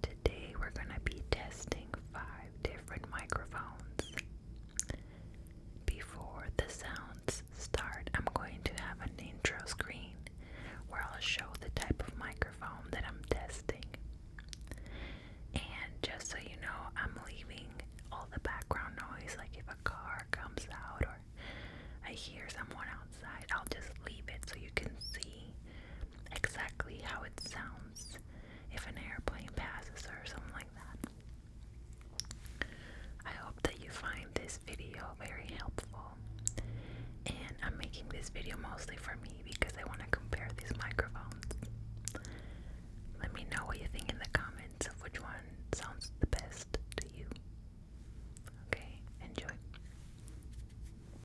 Today we're going to be testing five different microphones. Before the sounds start, I'm going to have an intro screen where I'll show the type of microphone that I'm testing. And just so you know, I'm leaving all the background noise, like if a car comes out or I hear someone outside, I'll just leave it so you can see exactly how it sounds if an airplane passes or something like that. I hope that you find this video very helpful. And I'm making this video mostly for me because I want to compare these microphones. Let me know what you think in the comments of which one sounds the best to you. Okay, enjoy.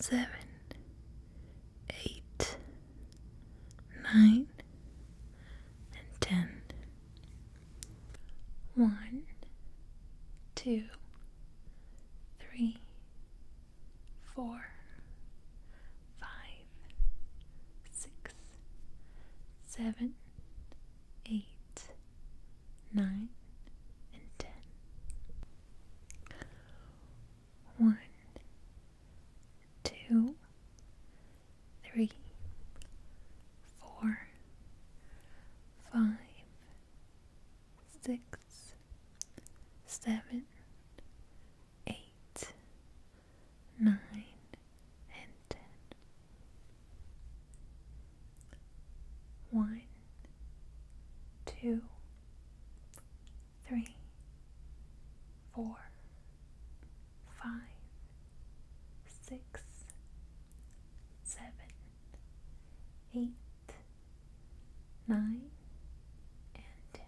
seven, eight, nine, and ten. One, two, three, four, five, six, seven, eight, nine, and ten. One, two, three, four, five, six, seven, eight, nine, and ten. One, two, three, four, five, six, seven, eight, nine, and ten.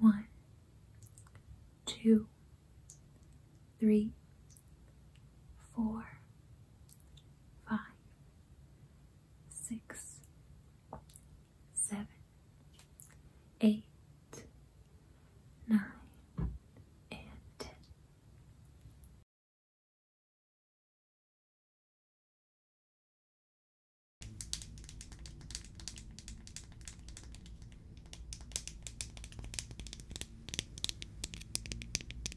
One, two, three, four, five, six, seven, eight, nine, and